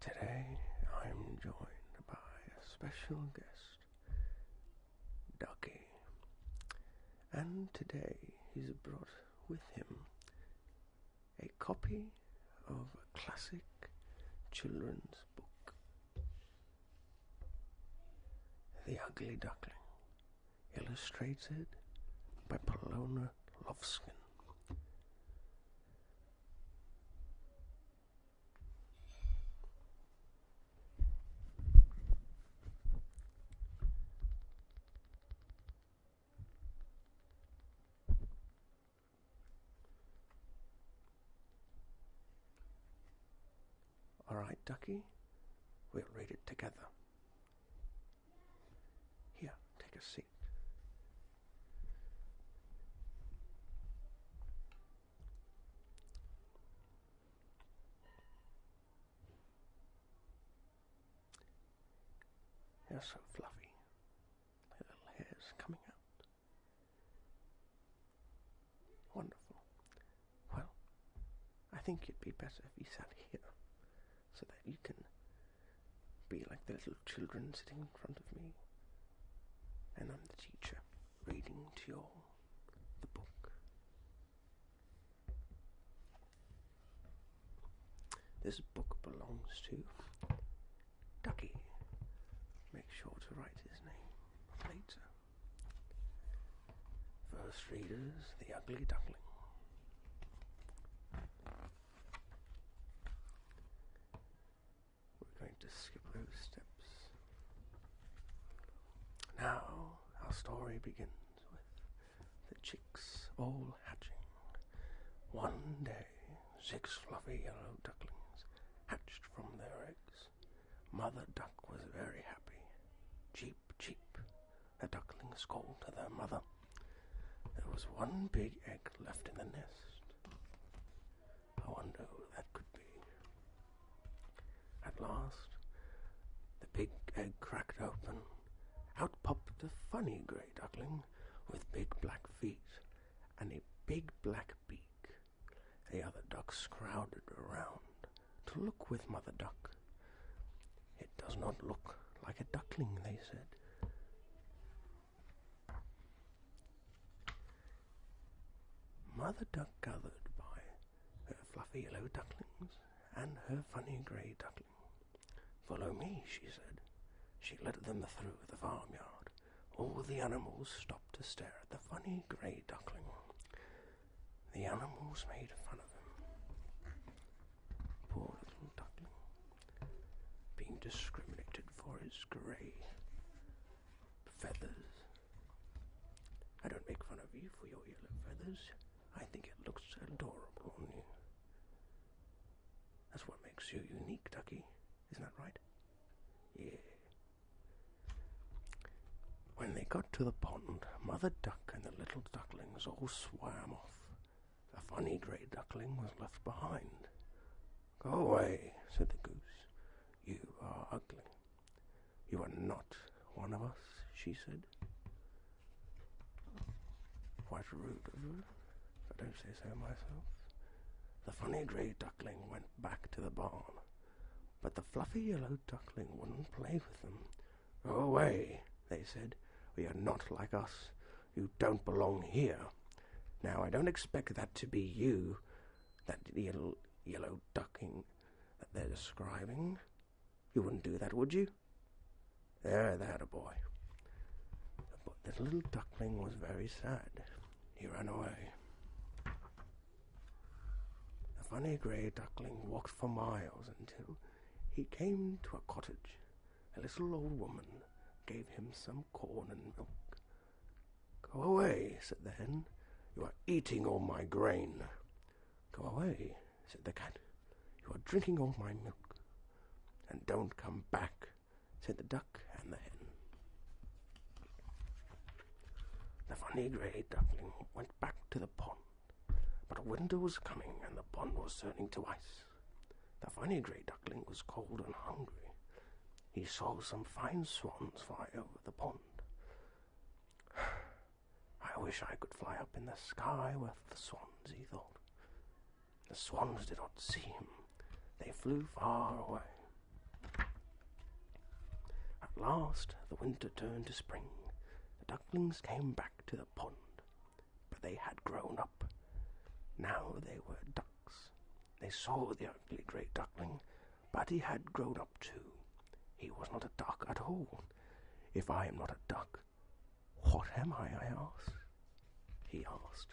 Today I'm joined by a special guest, Ducky. And today he's brought with him a copy of a classic children's book, The Ugly Duckling illustrated by Polona Lovskin. All right, ducky, we'll read it together. Here, take a seat. They're so fluffy. little hairs coming out. Wonderful. Well, I think it'd be better if you sat here so that you can be like the little children sitting in front of me. And I'm the teacher reading to you the book. This book belongs to Ducky. Make sure to write his name later. First readers, The Ugly Duckling. We're going to skip those steps. Now, our story begins with the chicks all hatching. One day, six fluffy yellow ducklings hatched from their eggs. Mother Duck was very happy. Cheep, cheep, the ducklings called to their mother. There was one big egg left in the nest. I wonder who that could be. At last, the big egg cracked open. Out popped a funny grey duckling with big black feet and a big black beak. The other ducks crowded around to look with Mother Duck. It does not look like a duckling, they said. Mother Duck gathered by her fluffy yellow ducklings and her funny grey duckling. Follow me, she said. She led them through the farmyard all the animals stopped to stare at the funny grey duckling. The animals made fun of him. Poor little duckling, being discriminated for his grey feathers. I don't make fun of you for your yellow feathers. I think it looks adorable on you. That's what makes you unique, Ducky. Isn't that right? When they got to the pond, Mother Duck and the little ducklings all swam off. The funny grey duckling was left behind. Go away, said the goose. You are ugly. You are not one of us, she said. Quite rude of her if I do not say so myself. The funny grey duckling went back to the barn, but the fluffy yellow duckling wouldn't play with them. Go away, they said. We are not like us. You don't belong here. Now, I don't expect that to be you, that yellow, yellow ducking that they're describing. You wouldn't do that, would you? There, there, a boy the little duckling was very sad. He ran away. The funny grey duckling walked for miles until he came to a cottage. A little old woman gave him some corn and milk. Go away, said the hen. You are eating all my grain. Go away, said the cat. You are drinking all my milk. And don't come back, said the duck and the hen. The funny grey duckling went back to the pond, but winter was coming and the pond was turning to ice. The funny grey duckling was cold and hungry. He saw some fine swans fly over the pond. I wish I could fly up in the sky with the swans, he thought. The swans did not see him. They flew far away. At last the winter turned to spring. The ducklings came back to the pond, but they had grown up. Now they were ducks. They saw the ugly great duckling, but he had grown up too. He was not a duck at all. If I am not a duck, what am I? I asked. He asked.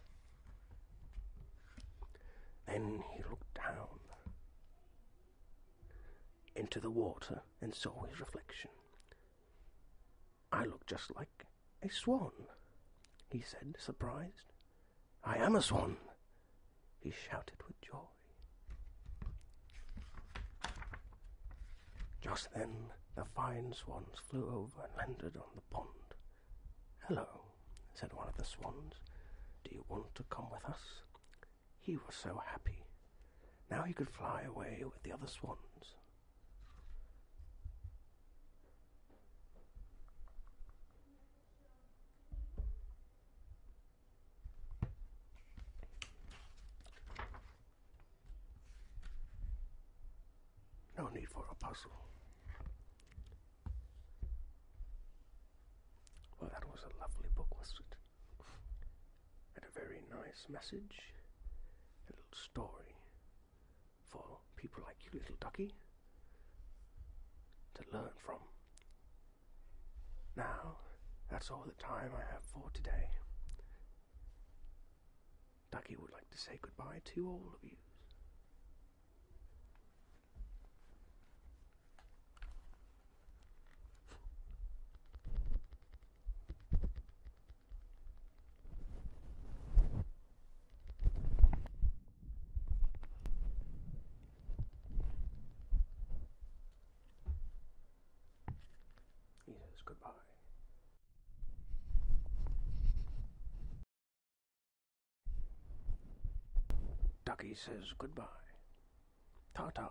Then he looked down into the water and saw his reflection. I look just like a swan, he said, surprised. I am a swan, he shouted with joy. Just then, the fine swans flew over and landed on the pond. Hello, said one of the swans. Do you want to come with us? He was so happy. Now he could fly away with the other swans. No need for a puzzle. Well, that was a lovely book, wasn't it? And a very nice message, a little story for people like you, little ducky, to learn from. Now, that's all the time I have for today. Ducky would like to say goodbye to all of you. He says goodbye. Ducky says goodbye. Ta ta.